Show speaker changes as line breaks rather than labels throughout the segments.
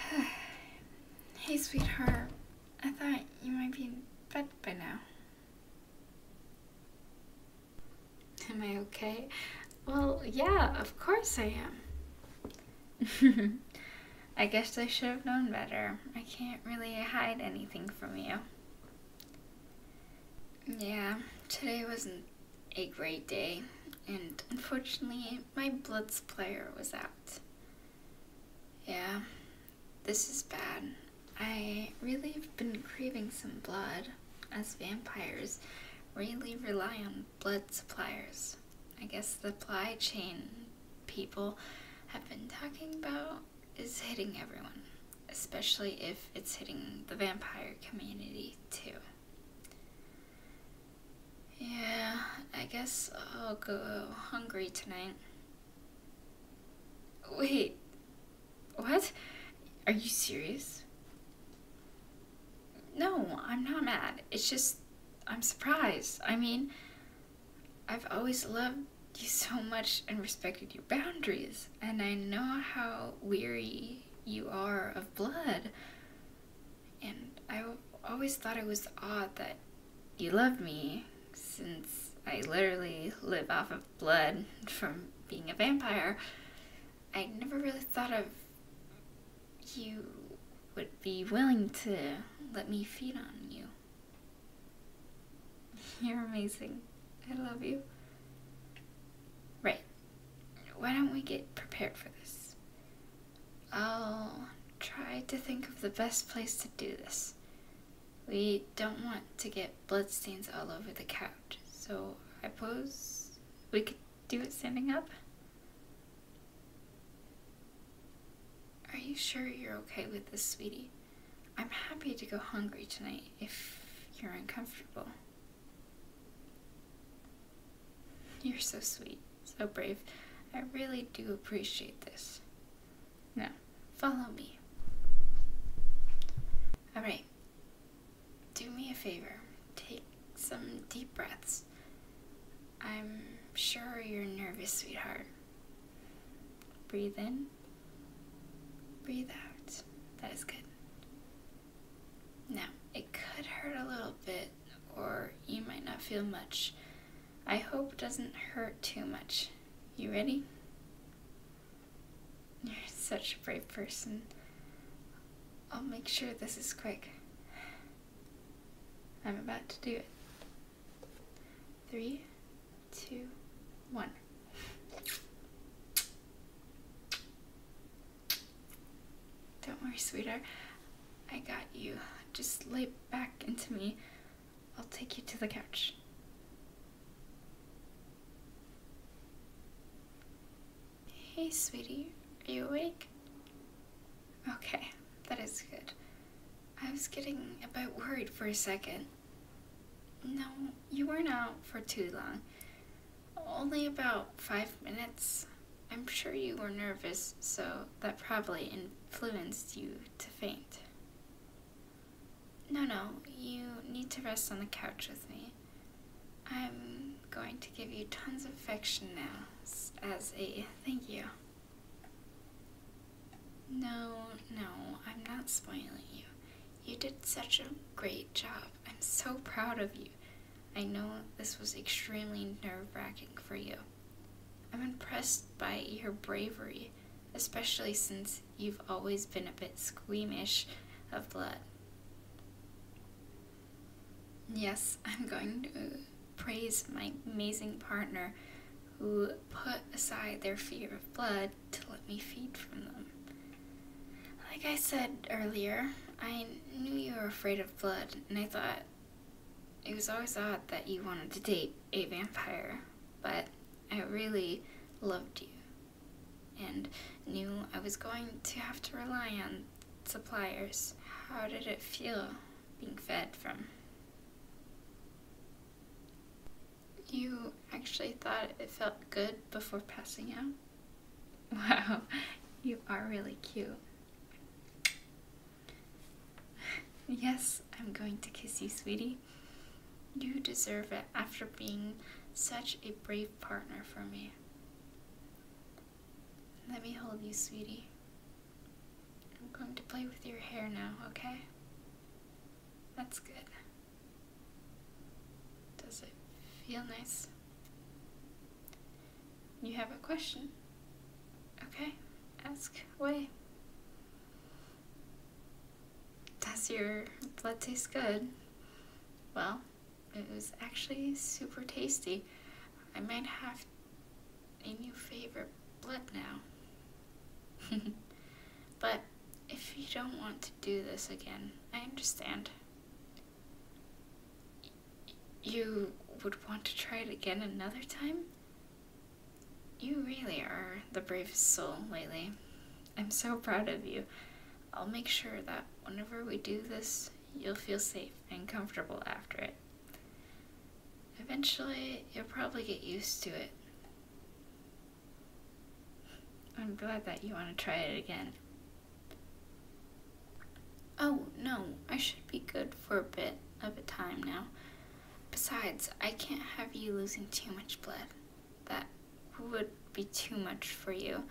hey, sweetheart. I thought you might be in bed by now. Am I okay? Well, yeah, of course I am. I guess I should have known better. I can't really hide anything from you. Yeah, today wasn't a great day, and unfortunately, my blood supplier was out. Yeah, this is bad. I really have been craving some blood, as vampires really rely on blood suppliers. I guess the supply chain people have been talking about is hitting everyone, especially if it's hitting the vampire community too. Yeah, I guess I'll go hungry tonight. Wait, what? Are you serious? No, I'm not mad. It's just, I'm surprised. I mean, I've always loved you so much and respected your boundaries, and I know how weary you are of blood. And I always thought it was odd that you loved me, since I literally live off of blood from being a vampire. I never really thought of you would be willing to let me feed on you. You're amazing. I love you. Right. Why don't we get prepared for this? I'll try to think of the best place to do this. We don't want to get bloodstains all over the couch, so I pose we could do it standing up? Are you sure you're okay with this, sweetie? I'm happy to go hungry tonight if you're uncomfortable. You're so sweet, so brave. I really do appreciate this. Now, follow me. Alright, do me a favor. Take some deep breaths. I'm sure you're nervous, sweetheart. Breathe in, breathe out. That is good. Now, it could hurt a little bit, or you might not feel much. I hope doesn't hurt too much. You ready? You're such a brave person. I'll make sure this is quick. I'm about to do it. Three, two, one. Don't worry, sweetheart. I got you. Just lay back into me. I'll take you to the couch. Hey, sweetie. Are you awake? Okay, that is good. I was getting a bit worried for a second. No, you weren't out for too long. Only about five minutes. I'm sure you were nervous, so that probably influenced you to faint. No, no, you need to rest on the couch with me. I'm going to give you tons of affection now as a thank you. No, no, I'm not spoiling you. You did such a great job. I'm so proud of you. I know this was extremely nerve wracking for you. I'm impressed by your bravery, especially since you've always been a bit squeamish of blood. Yes, I'm going to praise my amazing partner who put aside their fear of blood to let me feed from them. Like I said earlier, I knew you were afraid of blood, and I thought it was always odd that you wanted to date a vampire, but I really loved you and knew I was going to have to rely on suppliers. How did it feel being fed from? You actually thought it felt good before passing out? Wow, you are really cute. Yes, I'm going to kiss you, sweetie. You deserve it after being such a brave partner for me. Let me hold you, sweetie. I'm going to play with your hair now, okay? That's good. Does it feel nice? You have a question? Okay, ask away. Does your blood taste good? Well, it was actually super tasty. I might have a new favorite blood now. but if you don't want to do this again, I understand. you would want to try it again another time? You really are the bravest soul lately. I'm so proud of you. I'll make sure that whenever we do this, you'll feel safe and comfortable after it. Eventually, you'll probably get used to it. I'm glad that you want to try it again. Oh, no, I should be good for a bit of a time now. Besides, I can't have you losing too much blood. That would be too much for you.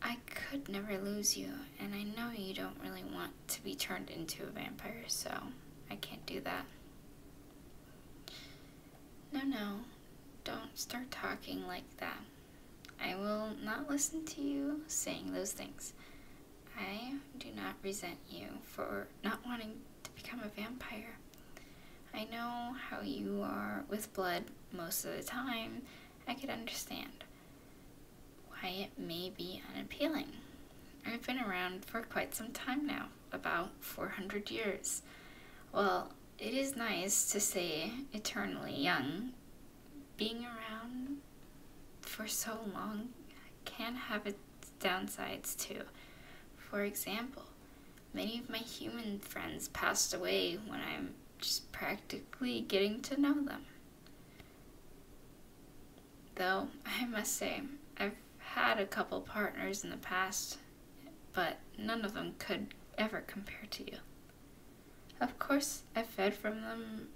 I could never lose you, and I know you don't really want to be turned into a vampire, so I can't do that. No, no, don't start talking like that. I will not listen to you saying those things. I do not resent you for not wanting to become a vampire. I know how you are with blood most of the time. I could understand why it may be unappealing. I've been around for quite some time now, about 400 years. Well, it is nice to say eternally young. Being around for so long can have its downsides too. For example, many of my human friends passed away when I'm just practically getting to know them. Though, I must say, I've had a couple partners in the past, but none of them could ever compare to you. Of course, I fed from them.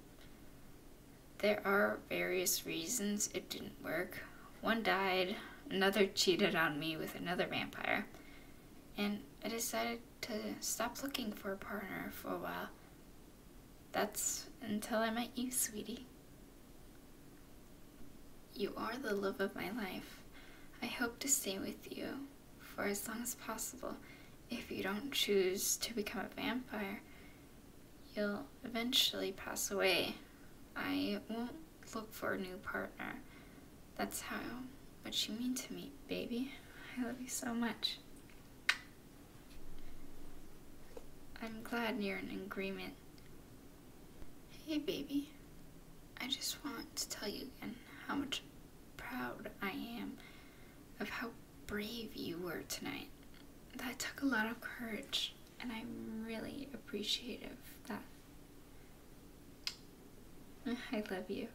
There are various reasons it didn't work. One died, another cheated on me with another vampire, and I decided to stop looking for a partner for a while that's until I met you, sweetie. You are the love of my life. I hope to stay with you for as long as possible. If you don't choose to become a vampire, you'll eventually pass away. I won't look for a new partner. That's how much you mean to me, baby. I love you so much. I'm glad you're in agreement. Hey, baby. I just want to tell you again how much proud I am of how brave you were tonight. That took a lot of courage, and I'm really appreciative of that. I love you.